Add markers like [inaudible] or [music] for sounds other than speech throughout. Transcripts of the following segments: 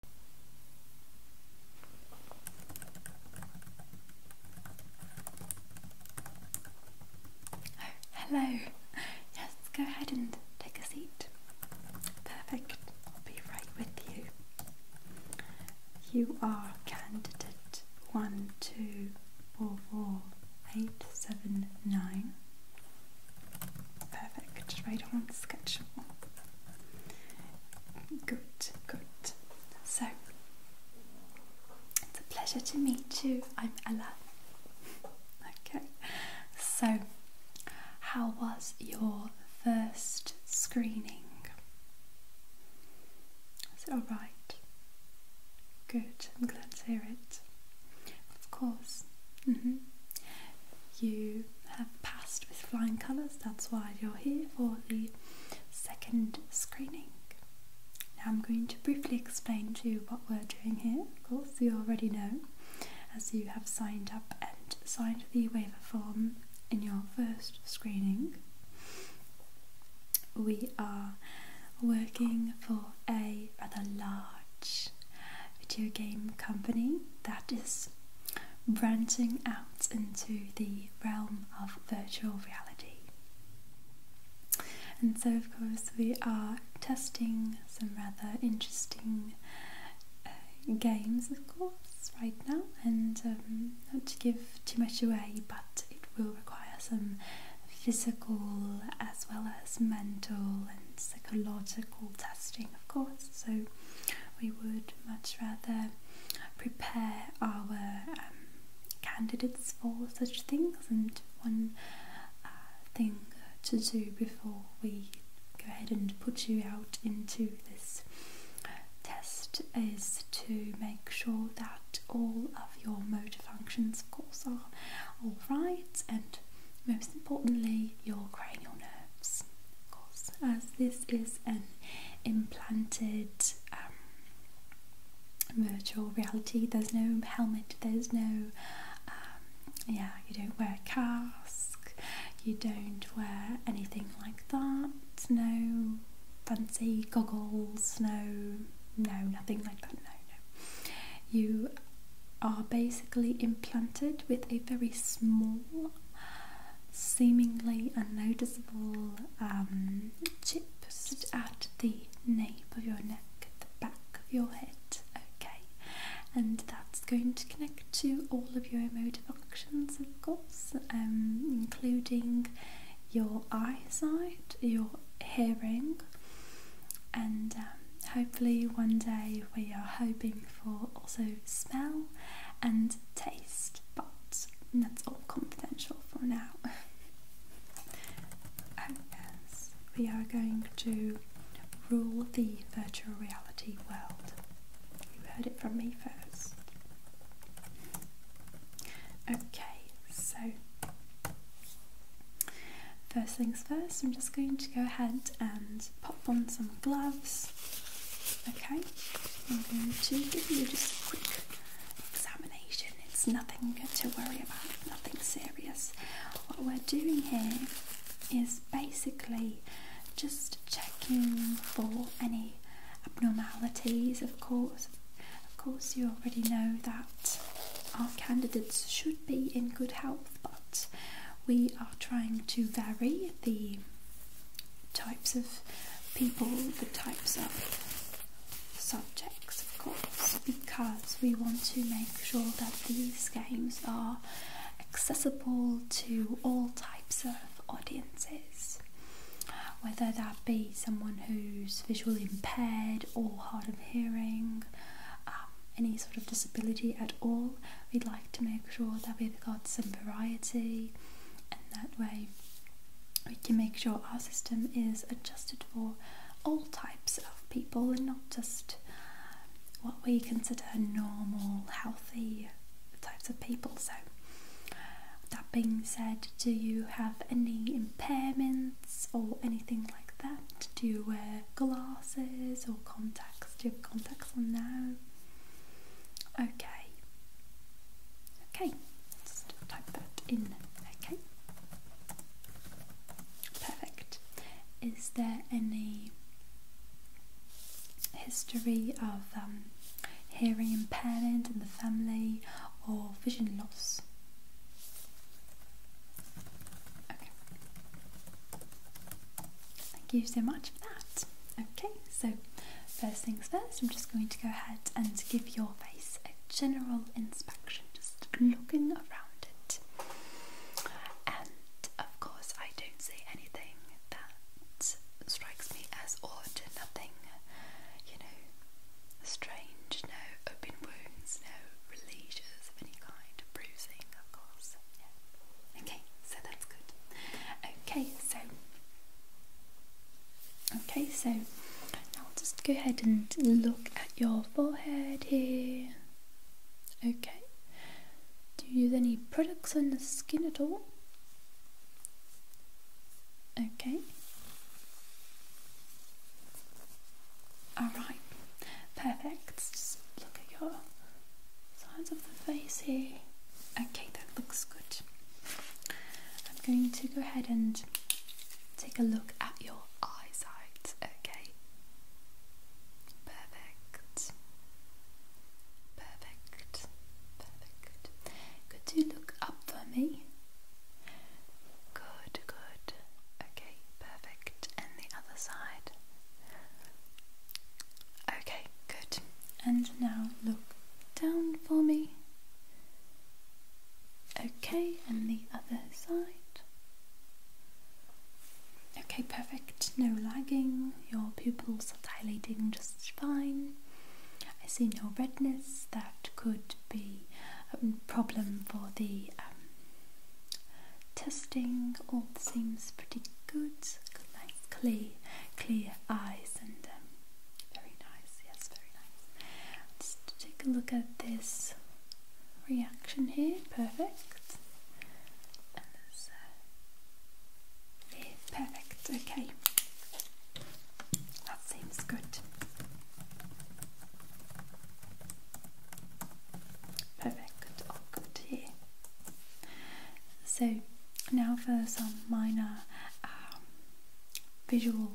Oh, hello. Yes, go ahead and take a seat. Perfect. I'll be right with you. You are candidate one two four four eight seven nine. Perfect. Right on schedule. Good, good. So, it's a pleasure to meet you. I'm Ella. Okay, so how was your first screening? Is it alright? Good, I'm glad to hear it. Of course. Mm-hmm. You have passed with flying colours, that's why you're here for the second screening. Now I'm going to briefly explain to you what we're doing here, of course you already know, as you have signed up and signed the waiver form in your first screening. We are working for a rather large video game company that is branching out into the realm of virtual reality. And so, of course, we are testing some rather interesting uh, games, of course, right now, and um, not to give too much away, but it will require some physical as well as mental and psychological testing of course. So we would much rather prepare our um, candidates for such things. And one uh, thing to do before we go ahead and put you out into this test is to make sure that all of your motor functions, of course, are all right and most importantly, your cranial nerves as this is an implanted um, virtual reality. There's no helmet, there's no, um, yeah, you don't wear a cask, you don't wear anything like that, no fancy goggles, no, no, nothing like that, no, no. You are basically implanted with a very small, seemingly unnoticeable um, chip at the nape of your neck, the back of your head, okay? And that's going to connect to all of your emotive functions, of course, um, including your eyesight, your hearing, and um, hopefully one day we are hoping for also smell and taste, but that's all confidential for now. yes, [laughs] we are going to rule the virtual reality world. You heard it from me first. Okay, so first things first, I'm just going to go ahead and pop on some gloves. Okay, I'm going to give you just a quick examination. It's nothing to worry about, nothing serious. What we're doing here is basically just checking for any abnormalities, of course. Of course, you already know that our candidates should be in good health, but we are trying to vary the types of people, the types of subjects, of course, because we want to make sure that these games are accessible to all types of audiences. Whether that be someone who's visually impaired or hard of hearing, um, any sort of disability at all. We'd like to make sure that we've got some variety, and that way we can make sure our system is adjusted for all types of people and not just what we consider normal, healthy types of people. So, that being said, do you have any impairments or anything like that? Do you wear glasses or contacts? contacts. Do on now? Okay. Okay. Just type that in. Okay. Perfect. Is there any history of um, hearing impairment in the family or vision loss? Thank you so much for that. Okay, so first things first, I'm just going to go ahead and give your face a general inspection, just looking around it. And of course, I don't see anything that strikes me as odd, or nothing, you know, strange, no open wounds, no releases of any kind, bruising, of course. Okay, so that's good. Okay, so okay, so I'll just go ahead and look at your forehead here. Okay. Do you use any products on the skin at all? Okay. Alright, perfect. Just look at your sides of the face here. Okay, that looks good. I'm going to go ahead and take a look at your eyesight. Okay, perfect, perfect, perfect. Could you look up for me? Good, good. Okay, perfect. And the other side. Okay, good. And now look down for me. Okay, and the other side. Okay, perfect. No lagging. Your pupils are dilating just fine. I see no redness. That could be a problem for the um, testing all seems pretty good nice clear clear eyes and um, very nice yes very nice let's take a look at this reaction here perfect and this, uh, perfect okay that seems good Perfect, good So now for some minor um, visual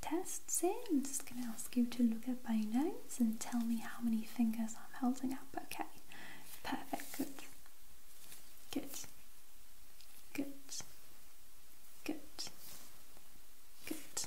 tests I'm just going to ask you to look at my notes and tell me how many fingers I'm holding up. Okay, perfect, good, good, good, good, good,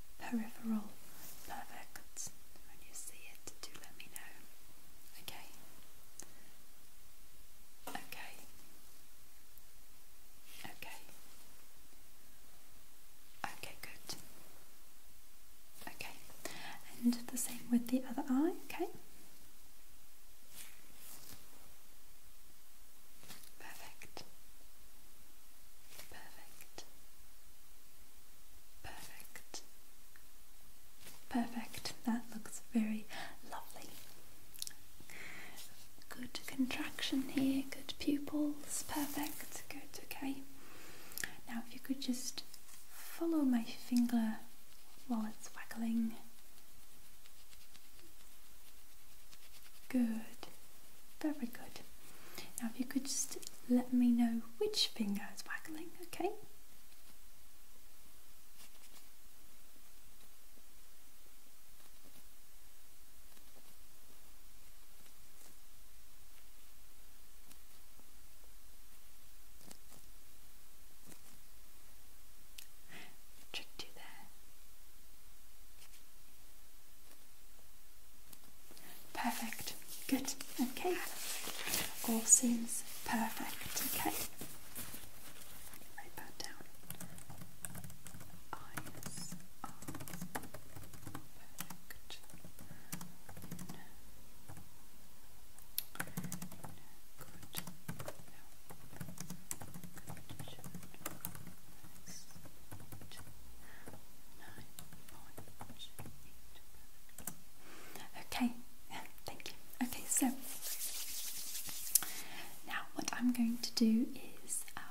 peripheral. Perfect. When you see it, do let me know. Okay. Okay. Okay. Okay, good. Okay. And the same with the other eye, okay? Perfect. Perfect. Perfect. Perfect. That looks very lovely. Good contraction here, good pupils. Perfect. Good. Okay. Now, if you could just follow my finger while it's waggling. Good. Very good. Now if you could just let me know which finger is waggling, okay? Tricked you there. Perfect. Good. Okay. All seems perfect. Okay. Write down. Eyes are perfect. In, in good. Okay, thank you. Okay, so now what I'm going to do is um,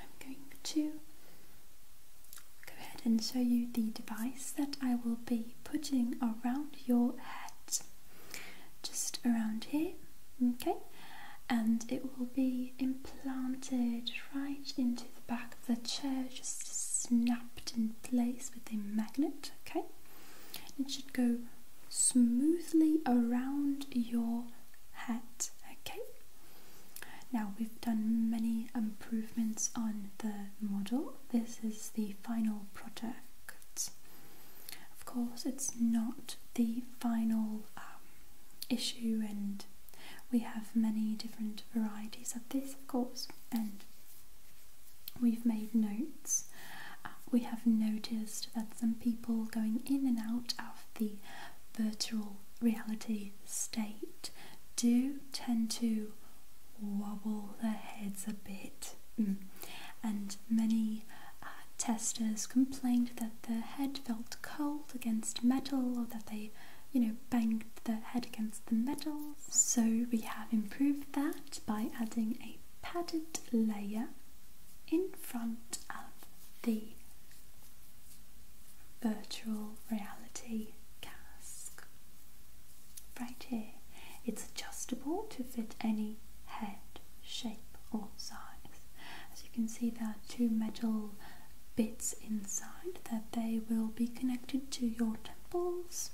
I'm going to go ahead and show you the device that I will be putting around your head, just around here. Okay, and it will be implanted right into the back of the chair, just snapped in place with a magnet. Okay, it should go smoothly around your head. Okay, now we've done many improvements on the model. This is the final product. Of course, it's not the final um, issue and we have many different varieties of this of course and we've made notes uh, we have noticed that some people going in and out of the virtual reality state do tend to wobble their heads a bit mm. and many uh, testers complained that their head felt cold against metal or that they, you know, banged their head against the metal. So we have improved that by adding a padded layer in front of the virtual reality cask. Right here. It's adjustable to fit any head shape or size. As you can see there are two metal bits inside that they will be connected to your temples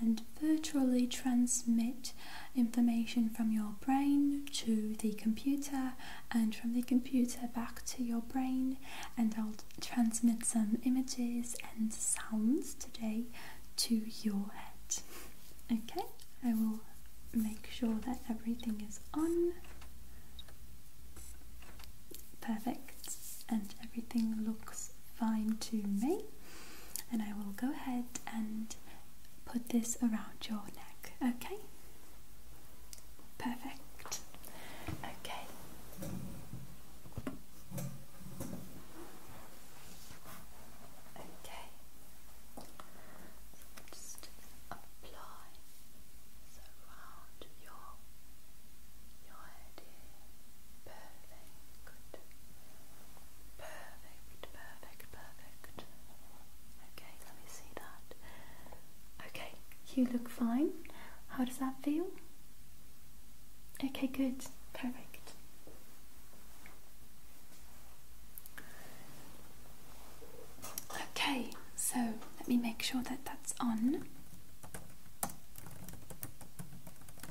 and virtually transmit information from your brain to the computer and from the computer back to your brain and I'll transmit some images and sounds today to your head. [laughs] Okay, I will make sure that everything is on. Perfect, and everything looks fine to me. And I will go ahead and put this around your neck, okay? Perfect. Okay. Okay just apply around your, your head here. Perfect. Perfect, perfect, perfect. Okay, let me see that. Okay, you look fine. How does that feel? Okay, good. Perfect. Okay, so let me make sure that that's on.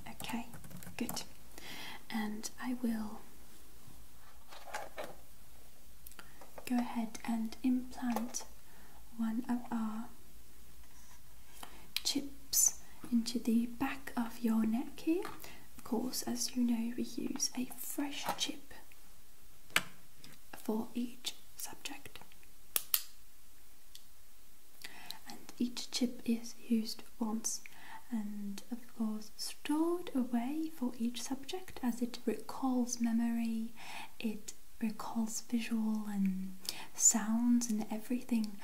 Okay, good. And I will go ahead and implant one of our chips into the back of your neck here. Of course, as you know, we use a fresh chip for each subject. And each chip is used once and of course stored away for each subject as it recalls memory, it recalls visual and sounds and everything.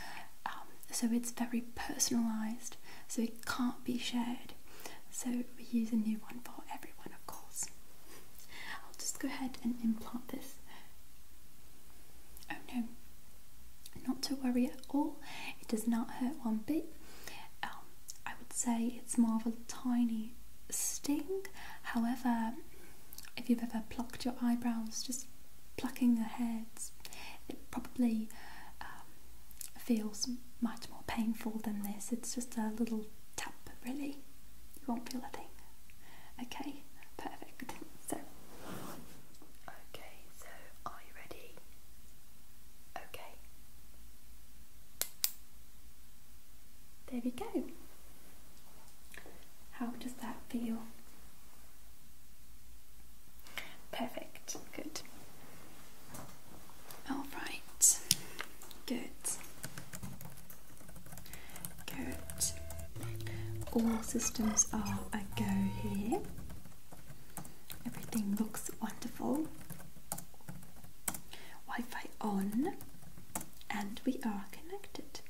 Um, so it's very personalized, so it can't be shared so we use a new one for everyone, of course. I'll just go ahead and implant this. Oh no, not to worry at all. It does not hurt one bit. Um, I would say it's more of a tiny sting. However, if you've ever plucked your eyebrows, just plucking the hairs, it probably um, feels much more painful than this. It's just a little tap, really. You won't feel a thing. Okay, perfect. So, okay, so are you ready? Okay. There we go. How does that feel? Perfect, good. All right. Good. Good. All systems are a go here. Everything looks wonderful. Wi-Fi on and we are connected.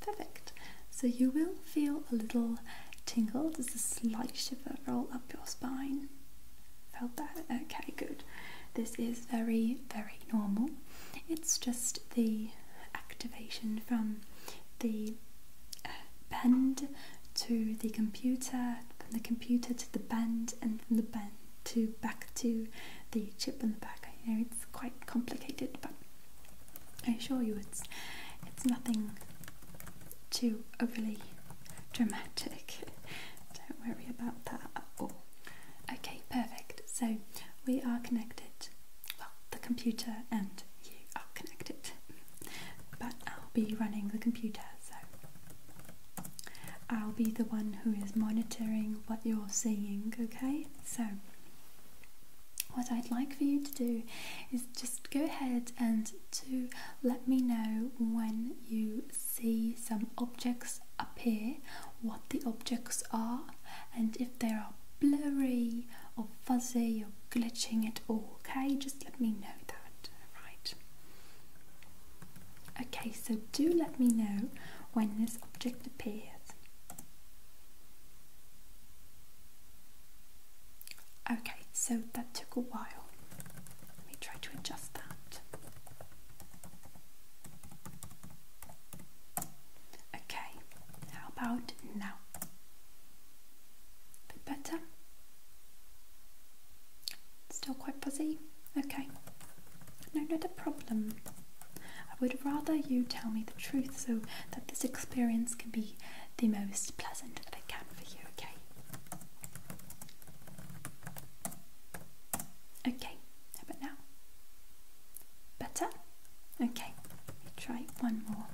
Perfect. So you will feel a little tingle. There's a slight shiver roll up your spine. Felt that? Okay, good. This is very, very normal. It's just the activation from the uh, bend to the computer, from the computer to the bend, and from the bend to back to the chip in the back. I know it's quite complicated, but I assure you, it's it's nothing too overly dramatic. [laughs] Don't worry about that at all. Okay, perfect. So we are connected. Well, the computer and you are connected. But I'll be running the computer, so I'll be the one who is monitoring what you're seeing, okay? So what I'd like for you to do is just go ahead and to let me know when you see some objects appear, what the objects are, and if they are blurry or fuzzy or glitching at all. Okay, just let me know that, right? Okay, so do let me know when this object appears. Okay, so that took a while. Let me try to adjust that. Okay, how about now? bit better? Still quite fuzzy? Okay. No, not a problem. I would rather you tell me the truth so that this experience can be the most pleasant that it can for you, okay? Okay, how now? Better? Okay, let me try one more.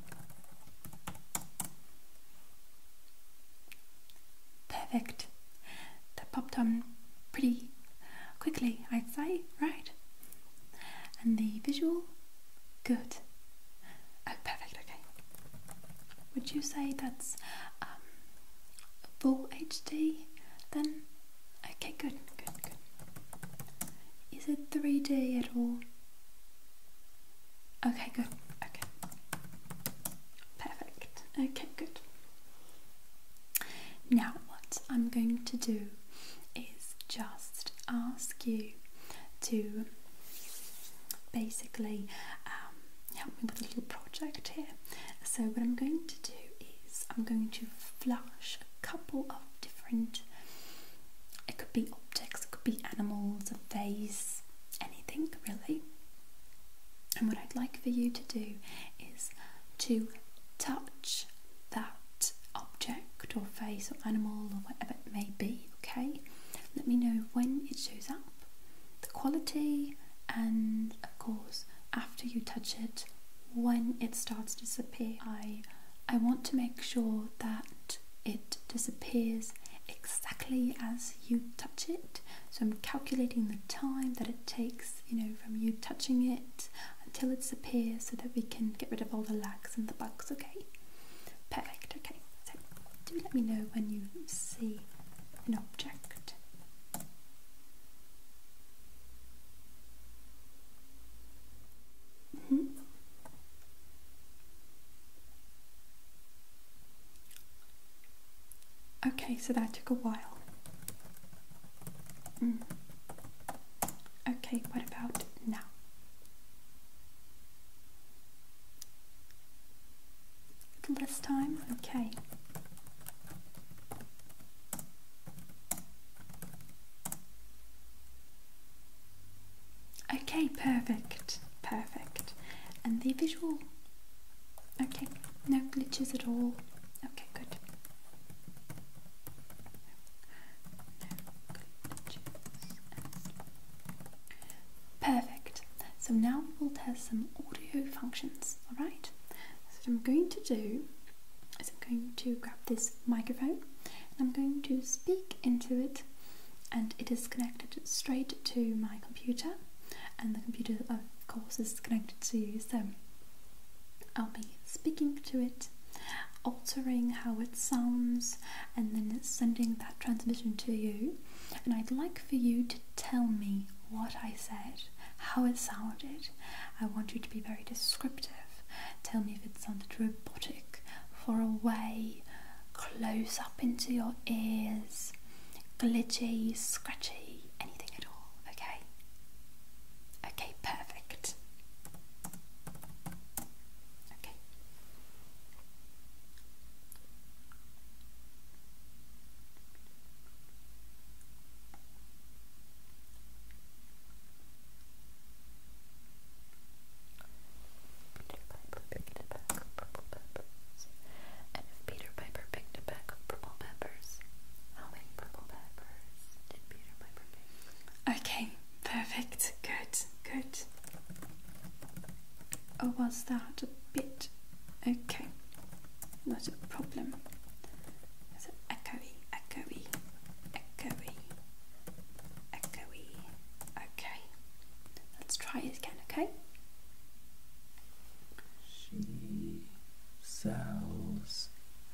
Perfect. That popped on pretty quickly, I'd say, right? And the visual? Good. Oh, perfect, okay. Would you say that's um, full HD then? Okay, good, good, good. Is it 3D at all? Okay, good, okay. Perfect, okay, good. Now, what I'm going to do is just ask you to basically um, help me with a little project here. So what I'm going to do is I'm going to flash a couple of different, it could be objects, it could be animals, a face, anything really. And what I'd like for you to do is to touch that object or face or animal or whatever it may be, okay? Let me know when it shows up the quality and of course after you touch it when it starts to disappear I I want to make sure that it disappears exactly as you touch it so I'm calculating the time that it takes you know from you touching it until it disappears so that we can get rid of all the lags and the bugs okay Perfect, okay. So do let me know when you see an object. Mm-hmm. Okay, so that took a while. Mm. Okay, what about now? This time, okay. Okay, perfect, perfect. And the visual. Okay, no glitches at all. Okay, good. Perfect. So now we will test some audio functions, alright? So what I'm going to do is I'm going to grab this microphone and I'm going to speak into it and it is connected straight to my computer and the computer of course is connected to you so I'll be speaking to it altering how it sounds and then sending that transmission to you and I'd like for you to tell me what I said, how it sounded. I want you to be very descriptive. Tell me if it sounded robotic, far away, close up into your ears, glitchy, scratchy, anything at all, okay? Okay, perfect. Okay. Piper picked a bag purple peppers. And if Peter Piper picked a bag purple peppers, how many purple peppers did Peter Piper pick? Okay, perfect. Good, good. Oh, was that a bit? Okay, not a problem. It's echoey, echoey, echoey, echoey. Okay, let's try it again, okay? She sells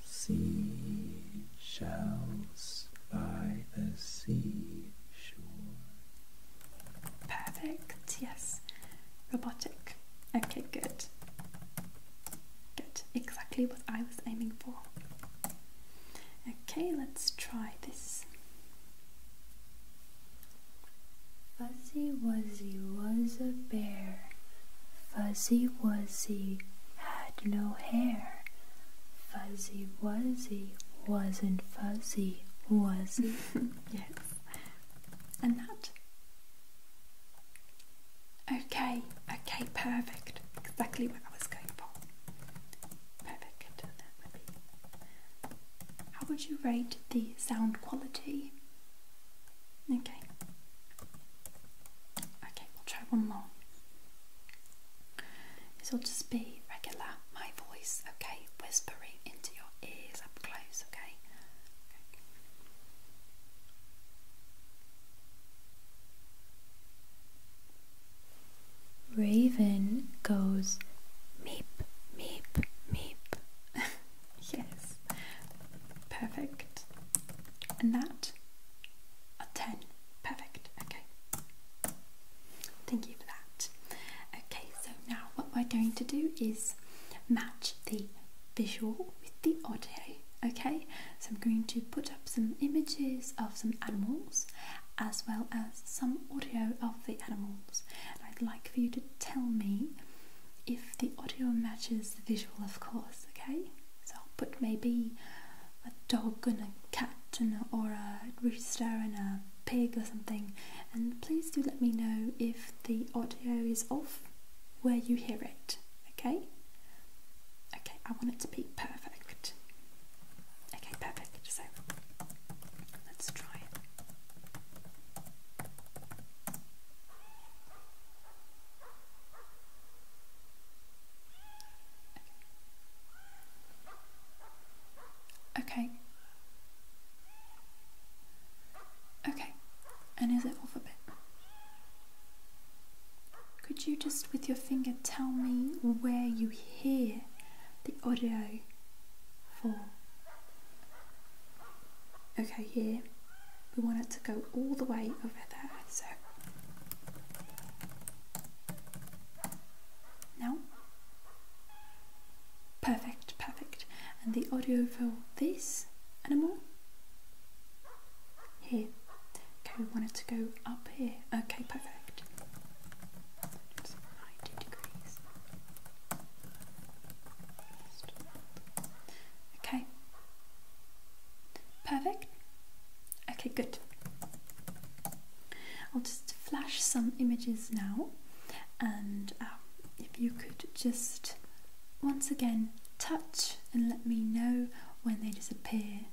seashells by the seashore. Perfect, yes. Robotic. Okay, good. Good, exactly what I was aiming for. Okay, let's try this. Fuzzy Wuzzy was a bear. Fuzzy Wuzzy had no hair. Fuzzy Wuzzy wasn't fuzzy, was [laughs] he? yes. And that. Okay, okay, perfect. Exactly what I was going for. Perfect. How would you rate the sound quality? Okay. Okay, we'll try one more. It'll just be regular, my voice, okay? Whispering into your ears up close, okay? okay. Raven goes meep, meep, meep. [laughs] yes, perfect. And that, a 10, perfect, okay. Thank you for that. Okay, so now what we're going to do is match the visual with the audio. Okay, so I'm going to put up some images of some animals as well as some audio of the animals. And I'd like for you to tell me if the audio matches the visual, of course. Okay, so I'll put maybe a dog and a cat and or a rooster and a pig or something. And please do let me know if the audio is off where you hear it, okay? Okay, I want it to be perfect. Okay, perfect. So let's try Okay. Okay, and is it off a bit? Could you just with your finger tell me where you hear the audio for? Okay, here we want it to go all the way over there. So now Perfect, perfect. And the audio for this animal? Here. Okay, we want it to go up here. Okay, perfect. 90 degrees. Okay. Perfect. Okay, good. I'll just flash some images now, and um, if you could just once again touch and let me know when they disappear,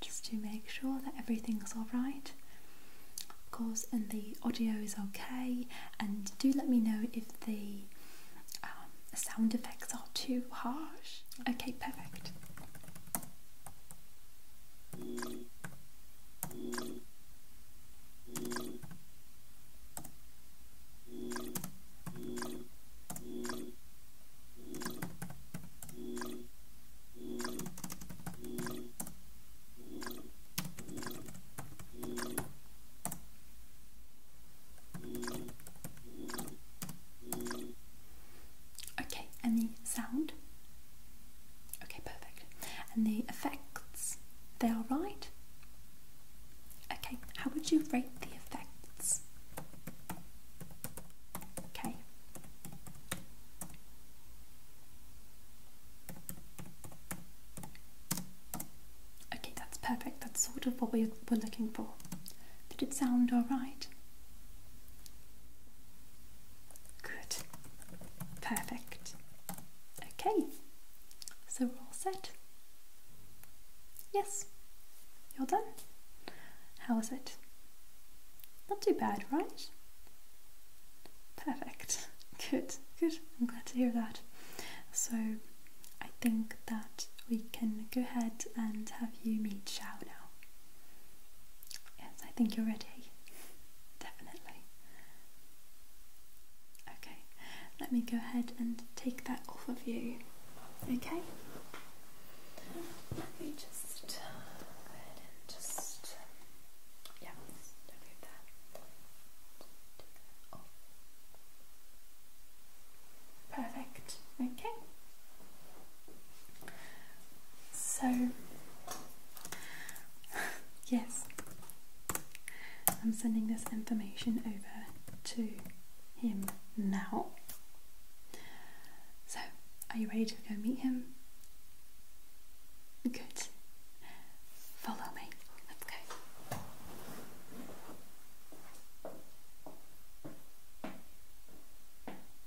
just to make sure that everything's alright. Of course, and the audio is okay, and do let me know if the um, sound effects are too harsh. Okay, perfect. Okay, Any sound Okay, perfect. And the effects, they are right? Okay, how would you rate the effects? Okay. Okay, that's perfect. That's sort of what we were looking for. Did it sound alright? Good. Perfect. Okay. So we're all set. Yes. You're done. How was it? Not too bad, right? Perfect. Good. Good. I'm glad to hear that. So I think that we can go ahead and have you meet Xiao now. Yes, I think you're ready. [laughs] Definitely. Okay, let me go ahead and take that off of you. Okay? Let me just just. Yeah, just that. Perfect. Okay. So, yes, I'm sending this information over to him now. So, are you ready to go meet him? Good. Follow me. Let's go.